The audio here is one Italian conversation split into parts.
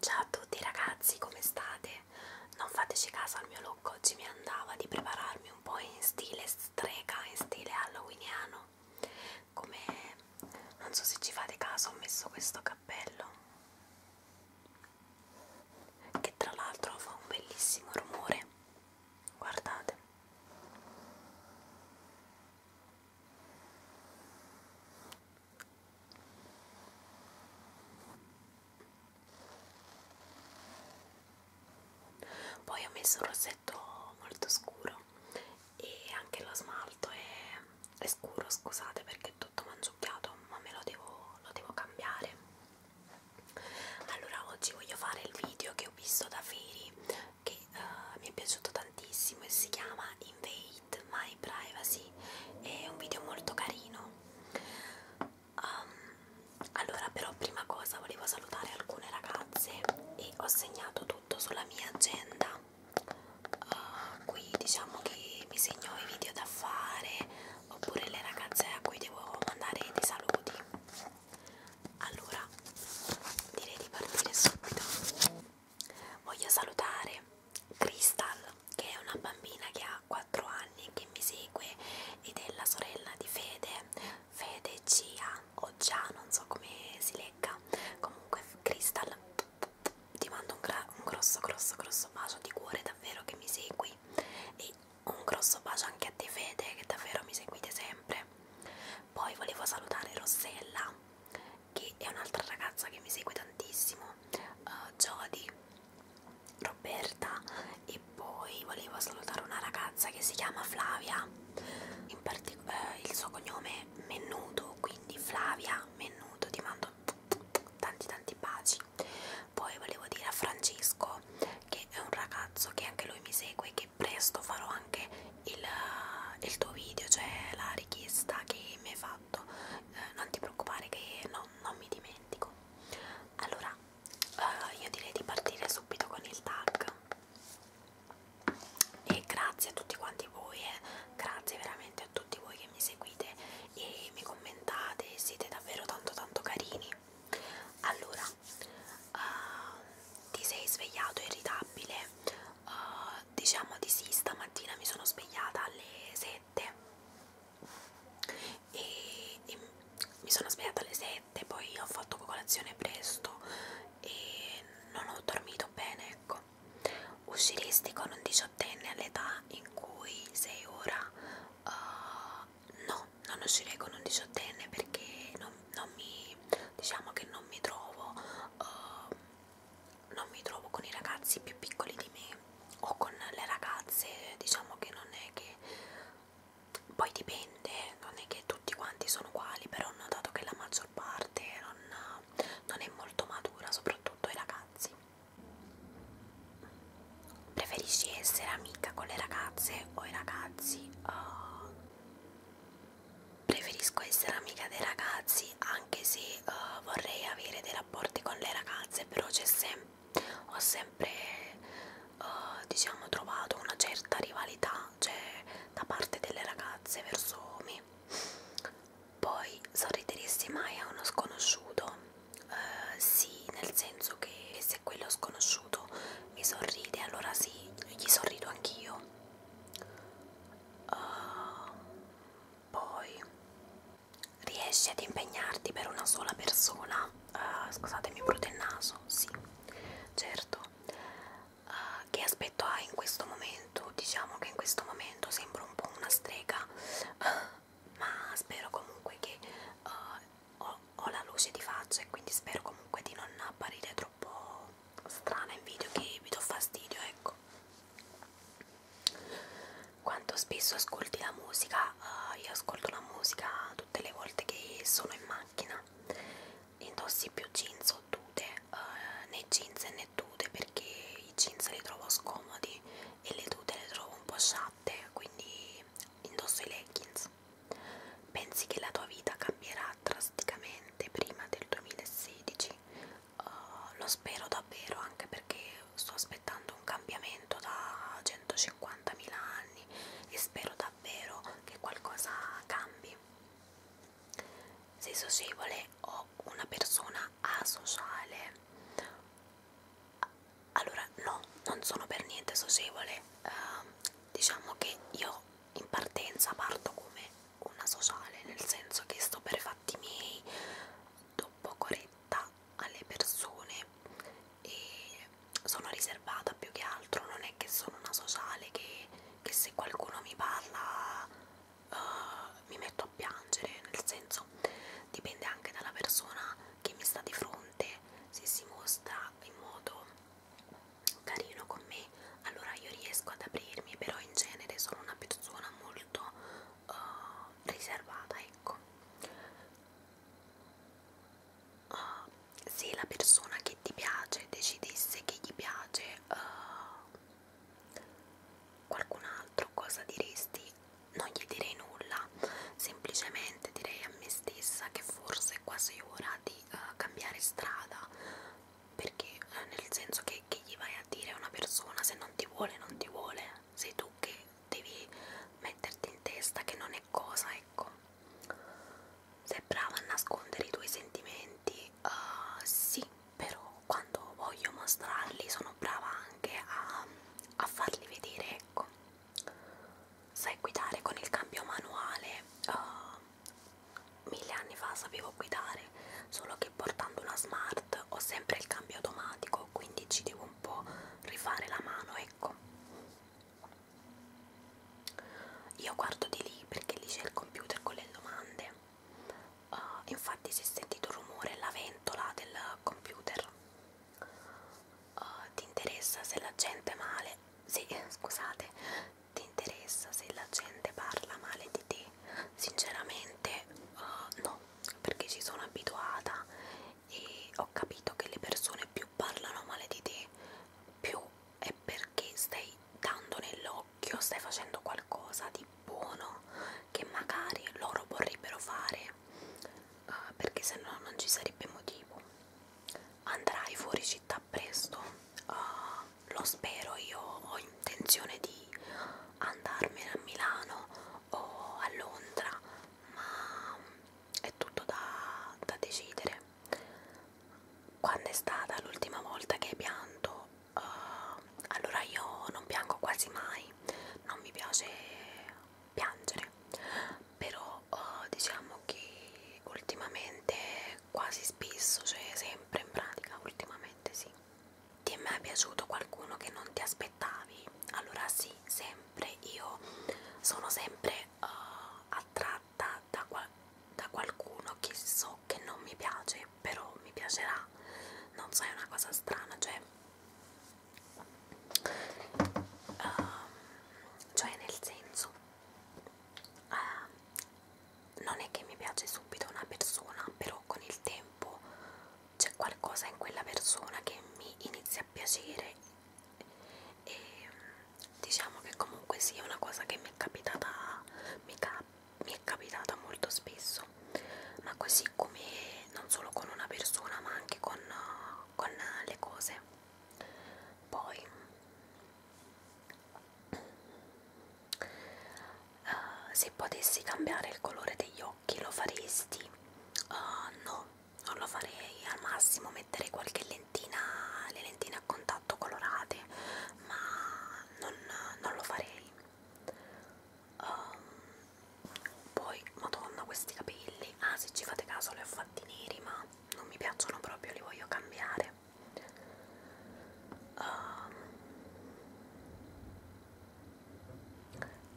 Ciao a tutti ragazzi, come state? Non fateci caso al mio look, oggi mi andava di prepararmi un po' in stile strega, in stile halloweeniano. Come non so se ci fate caso, ho messo questo cappello che tra l'altro fa un bellissimo rumore. Guardate poi ho messo un rossetto molto scuro e anche lo smalto è, è scuro scusate perché è tutto mangiucchiato ma me lo devo, lo devo cambiare allora oggi voglio fare il video che ho visto da Feri che uh, mi è piaciuto tantissimo tantissimo e si chiama Invade My Privacy, è un video molto carino. Um, allora, però, prima cosa volevo salutare alcune ragazze e ho segnato tutto sulla mia agenda. Uh, qui diciamo che mi segno i video da fare oppure le ragazze a cui devo mandare dei saluti. Allora, direi di partire subito voglio salutare Crystal che è una bambina che ha 4 anni che mi segue ed è la sorella di Fede Fede Gia o Gia non so come si legga comunque Crystal ti mando un, un grosso grosso grosso bacio di cuore davvero che mi segui e un grosso bacio anche a te Fede che davvero mi seguite sempre poi volevo salutare Rossella che è un'altra ragazza che mi segue tantissimo, uh, Jody, Roberta e poi volevo salutare una ragazza che si chiama Flavia, in particolare uh, il suo cognome è Mennuto, quindi Flavia Mennuto, ti mando tanti tanti baci. Poi volevo dire a Francesco che è un ragazzo che anche lui mi segue che presto farò anche il, eh, il tuo video, cioè la richiesta che mi hai fatto, eh, non ti preoccupare che no, non mi dimentico. Allora, eh, io direi di partire subito con il tag e grazie a tutti quanti voi, eh. grazie veramente a tutti voi che mi seguite e mi commentate, siete davvero tanto tanto carini. Allora, uh, ti sei svegliato irritabile? uh, diciamo di sì stamattina mi sono svegliata alle 7 e, e mi sono svegliata alle 7 poi ho fatto colazione presto e non ho dormito bene ecco usciresti con un diciottenne all'età in cui sei ora uh, no non uscirei con un diciottenne perché non, non mi diciamo che non mi trovo uh, non mi trovo con i ragazzi più piccoli di me o con le ragazze, diciamo che non è che poi dipende, non è che tutti quanti sono uguali, però ho notato che la maggior parte non, non è molto matura, soprattutto i ragazzi. Preferisci essere amica con le ragazze o i ragazzi? Uh, preferisco essere amica dei ragazzi anche se uh, vorrei avere dei rapporti con le ragazze però c'è sempre ho sempre uh, diciamo trovato una certa rivalità cioè da parte delle ragazze verso me poi sorrideresti mai a uno sconosciuto uh, sì nel senso che se quello sconosciuto mi sorride allora sì gli sorrido anch'io uh, poi riesci ad impegnarti per una sola persona uh, scusatemi brutto il naso sì certo uh, che aspetto hai in questo momento diciamo che in questo momento sembro un po' una strega uh, ma spero comunque che uh, ho, ho la luce di faccia e quindi spero comunque di non apparire troppo strana in video che mi do fastidio, ecco. Quanto spesso ascolti la musica? Uh, io ascolto la musica tutte le volte che sono in macchina. Indossi più jeans o tute, uh, né jeans né tute perché i jeans li trovo scomodi e le tute le trovo un po' sciatte, quindi indosso i leggings. Pensi che la tua vita cambierà drasticamente? sicuramente prima del 2016 uh, eh, lo spero davvero anche perché sto aspettando un cambiamento da 150.000 anni e spero davvero che qualcosa cambi sei socievole o una persona asociale allora no non sono per niente socievole uh, diciamo che io in partenza parto come una sociale, nel senso che sto per fatti miei, do poco retta alle persone e sono riservata più che altro, non è che sono una sociale che, che se qualcuno mi parla uh, mi metto a piangere, nel senso dipende anche dalla persona che mi sta di fronte, se si mostra in modo carino con me allora io riesco ad aprirmi però in genere sono una persona molto uh, riservata ecco uh, se la persona che ti piace decidesse che gli piace uh, qualcun altro cosa diresti? non gli direi nulla semplicemente direi a me stessa che forse cose qua sei ora di uh, cambiare strada perché uh, nel senso che, che gli vai a dire a una persona se non ti vuole non ti vuole sei tu che devi metterti in testa che non è cosa ecco sei brava a nascondere i tuoi sentimenti uh, sì però quando voglio mostrarli sono brava anche a, a farli vedere ecco sai guidare con il cambio manuale uh, mille anni fa sapevo guidare, solo che portando una smart ho sempre il cambio automatico, quindi ci devo un po' rifare la mano, ecco. Io guardo di lì perché lì c'è il computer con le domande. Uh, infatti si è sentito il rumore, la ventola del computer. Uh, ti interessa se la gente è male? Sì, scusate, ti interessa se la gente parla male di te? Sinceramente uh, no, perché ci sono abituata e ho capito che le persone più parlano male di te, più è perché stai dando nell'occhio, stai facendo qualcosa di buono che magari loro vorrebbero fare, uh, perché se no non ci sarebbe motivo andrai fuori città presto uh, lo spero io ho intenzione di andarmene a Milano o a Londra ma è tutto da, da decidere quando è stata l'ultima volta che hai pianto uh, allora io non piango quasi mai non mi piace piangere però oh, diciamo che ultimamente quasi spesso, cioè sempre in pratica, ultimamente sì. Ti è mai piaciuto qualcuno che non ti aspettavi? Allora sì, sempre io sono sempre uh, attratta da, qua da qualcuno che so che non mi piace, però mi piacerà. Non so, è una cosa strana, cioè uh, cioè nel senso uh, non è che mi piace subito una persona però con il tempo c'è qualcosa in quella persona che mi inizia a piacere e diciamo che comunque sia una cosa che mi è capitata mi, cap mi è capitata molto spesso ma così come non solo con una persona ma anche con, con le cose poi uh, se potessi cambiare il colore degli occhi lo faresti? Uh, no, non lo farei al massimo mettere qualche lentina le lentine a contatto colorate ma non, non lo farei um, poi madonna questi capelli gialli ah se ci fate caso li ho fatti neri ma non mi piacciono proprio li voglio cambiare um,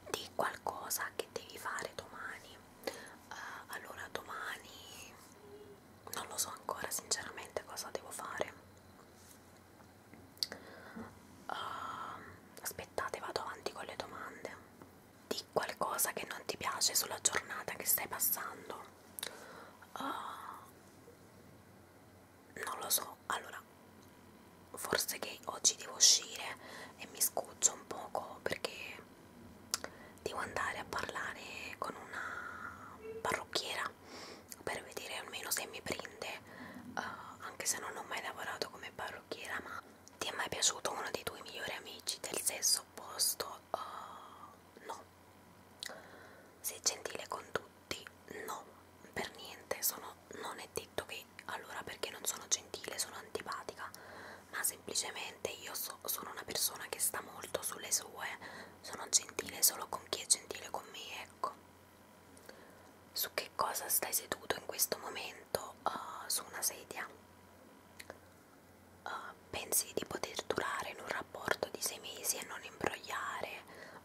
di qualcosa che devi fare domani uh, allora domani non lo so ancora sinceramente cosa devo fare uh, aspettate vado avanti con le domande di qualcosa che non ti piace sulla giornata che stai passando uh, non lo so allora forse che oggi devo uscire e mi scuccio un poco perché devo andare a parlare con una parrucchiera per vedere almeno se mi prende uh, anche se non ho mai lavorato come parrucchiera ma ti è mai piaciuto uno dei tuoi migliori amici del sesso opposto? Uh, no. Sei gentile con tutti? No, per niente. Sono, non è detto che allora perché non sono gentile sono antipatica, ma semplicemente io so, sono una persona che sta molto sulle sue. Sono gentile solo con chi è gentile con me, ecco. Su che cosa stai seduto in questo momento? Uh, su una sedia? uh, pensi di poter durare in un rapporto di sei mesi e non imbrogliare?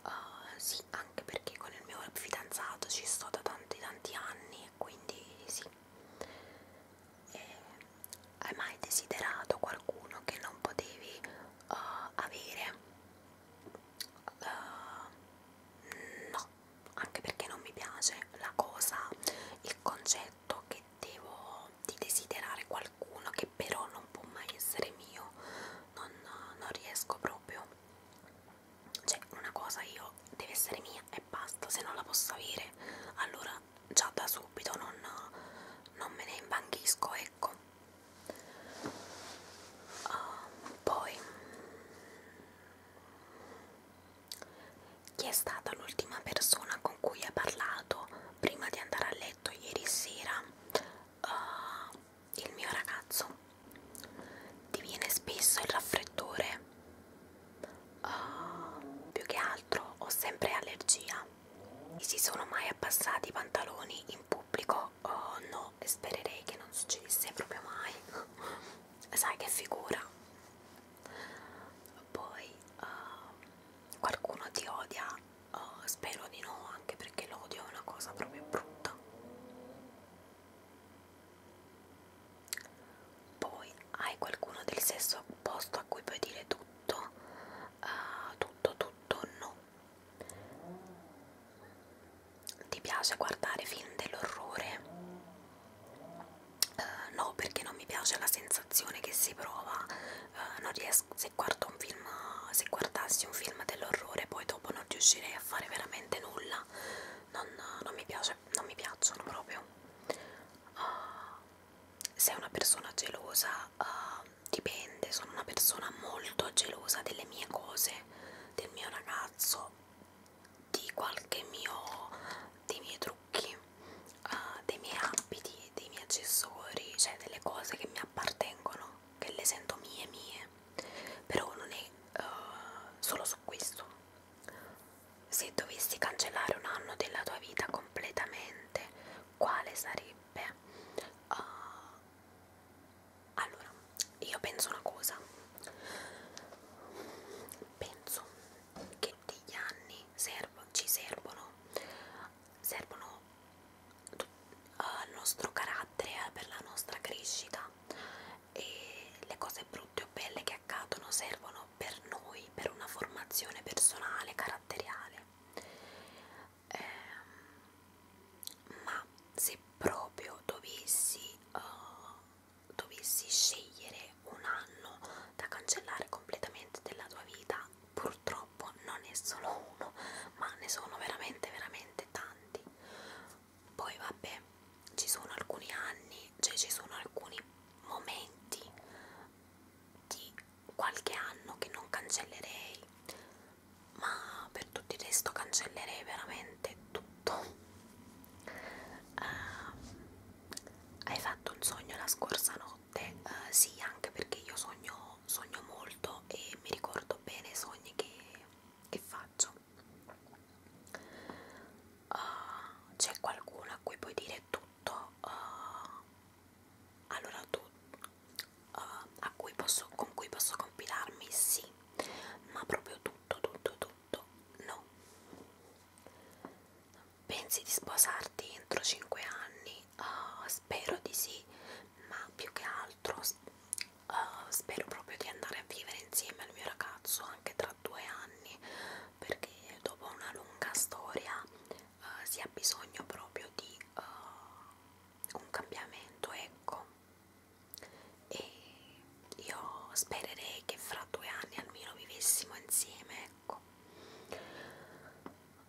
Uh, sì, anche perché con il mio fidanzato ci sto da tanti tanti anni, quindi sì. E hai mai desiderato qualcuno che non potevi uh, avere? Uh, no, anche perché non mi piace la cosa, il concetto che devo di desiderare qualcuno che però non può mai essere mio, non, non riesco proprio, cioè una cosa io deve essere mia e basta, se non la posso avere allora già da subito non, non me ne imbanchisco, ecco. Uh, poi chi è stata l'ultima persona con cui hai parlato prima di andare a letto ieri sera? Uh, il mio ragazzo. Ti viene spesso il raffreddore? Uh, più che altro ho sempre allergia. Mi si sono mai abbassati i pantaloni in pubblico? Oh no, e spererei che non succedesse proprio mai. sai che figura poi uh, qualcuno ti odia uh, spero di no anche perché l'odio è una cosa proprio brutta poi hai qualcuno del sesso opposto a cui puoi dire tutto uh, tutto tutto no ti piace guardare film dell'orrore? Uh, no, perché non mi piace la sensazione che si prova. Uh, non riesco, se, guardo un film, se guardassi un film dell'orrore, poi dopo non riuscirei a fare veramente nulla. Non, non, mi, piace, non mi piacciono proprio. Uh, eh, sei una persona gelosa? Uh, dipende, sono una persona molto gelosa delle mie cose, del mio ragazzo di qualche mio dei miei trucchi uh, dei miei abiti dei miei accessori cioè delle cose che mi appartengono che le sento mie mie però non è uh, solo su questo se dovessi cancellare un anno della tua vita completamente quale sarebbe uh, allora io penso una cosa penso che degli anni serv ci servono servono al nostro carattere eh, per la nostra crescita e le cose brutte o belle che accadono servono per noi per una formazione personale caratteriale ehm, ma se proprio dovessi, uh, dovessi scegliere un anno da cancellare completamente della tua vita, purtroppo non è solo uno, ma ne sono veramente, veramente tanti. Poi vabbè, ci sono alcuni anni, cioè ci sono alcuni momenti di qualche anno che non cancellerei ma per tutto il resto cancellerei veramente tutto uh, hai fatto un sogno la scorsa notte uh, sì anche perché io sogno, sogno molto e mi ricordo bene i sogni che, che faccio uh, c'è qualcuno a cui puoi dire tutto uh, allora tu uh, a cui posso, con cui posso compilarmi sì ma proprio tutto, tutto, tutto no. Pensi di sposarti entro 5 anni? Uh, spero di sì, ma più che altro uh, spero proprio di andare a vivere insieme al mio ragazzo anche tra due anni, perché dopo una lunga storia uh, si ha bisogno proprio di uh, un cambiamento, ecco e io spererei che fra due anni almeno vivessimo insieme ecco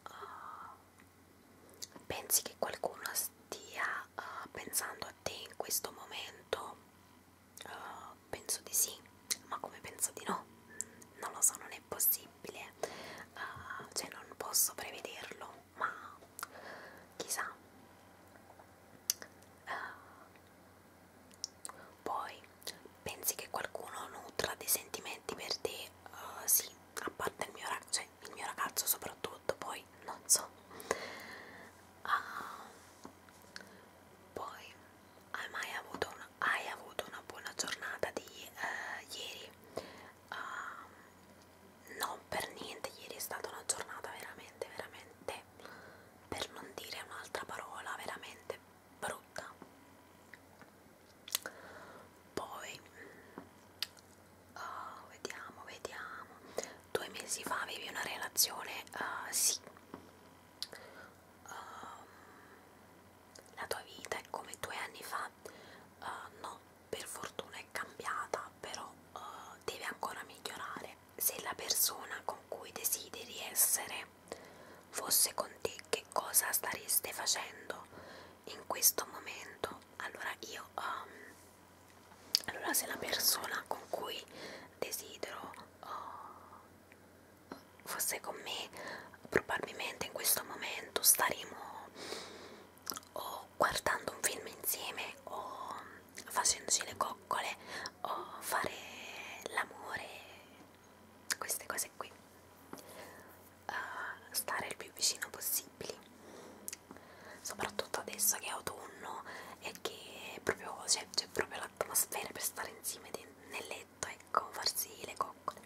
uh, pensi che qualcuno stia uh, pensando a te in questo momento uh, penso di sì ma come penso di no non lo so non è possibile uh, cioè non posso prevederlo ma chissà uh, poi pensi che qualcuno nutra dei sentimenti per te uh, sì a parte il mio ragazzo cioè il mio ragazzo soprattutto poi non so uh, poi hai mai avuto una, hai avuto una buona giornata di uh, ieri uh, non per niente ieri è stata una giornata veramente veramente per non dire un'altra parola veramente brutta poi uh, vediamo vediamo due mesi fa avevi una relazione uh, sì uh, la tua vita è come due anni fa uh, no per fortuna è cambiata, però uh, deve ancora migliorare. Se la persona con cui desideri essere fosse con te, che cosa stareste facendo in questo momento? Allora io, um, allora se la persona con cui desidero uh, fosse con me, probabilmente in questo momento staremo o guardando un film insieme o facendosi le coccole o fare l'amore, queste cose qui, uh, stare il più vicino possibile, soprattutto adesso che è autunno e che proprio c'è cioè, proprio l'atmosfera per stare insieme nel letto, ecco, farsi le coccole.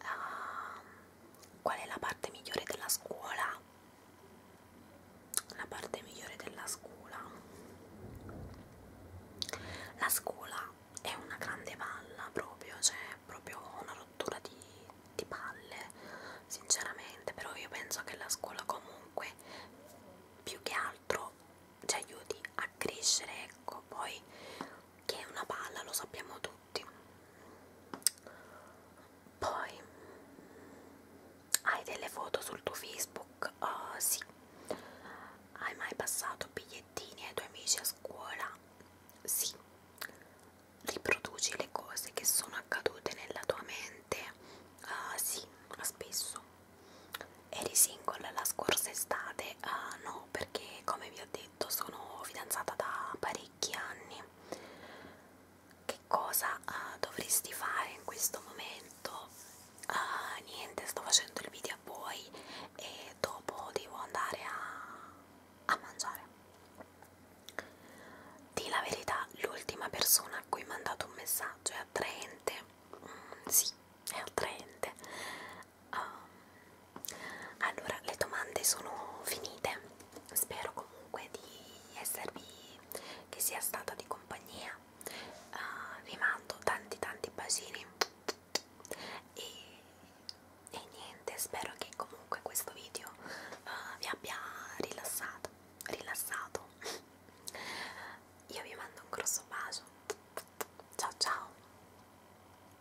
Uh, Qual è la parte migliore della scuola? La parte migliore della scuola. La scuola è una grande palla proprio, cioè proprio una rottura di, di palle, sinceramente, però io penso che la scuola comunque più che altro ci aiuti a crescere, ecco, poi che è una palla, lo sappiamo tutti tutti poi hai delle foto sul tuo facebook? Uh, sì hai mai passato bigliettini ai tuoi amici a scuola? sì riproduci le cose che sono accadute nella tua mente? Uh, sì, spesso eri single la scorsa estate? Uh, no no perché come vi ho detto sono fidanzata da parecchi anni che cosa uh, dovresti fare in questo momento? Uh, niente sto facendo il video a voi e dopo devo andare a, a mangiare di la verità l'ultima persona a cui ho mandato un messaggio è attraente mm, sì è attraente Um, allora, le domande sono finite. Spero comunque di esservi, che sia stata di compagnia. Uh, vi mando tanti tanti bacini e, e niente, spero che comunque questo video uh, vi abbia rilassato, rilassato. Io vi mando un grosso bacio. Ciao ciao.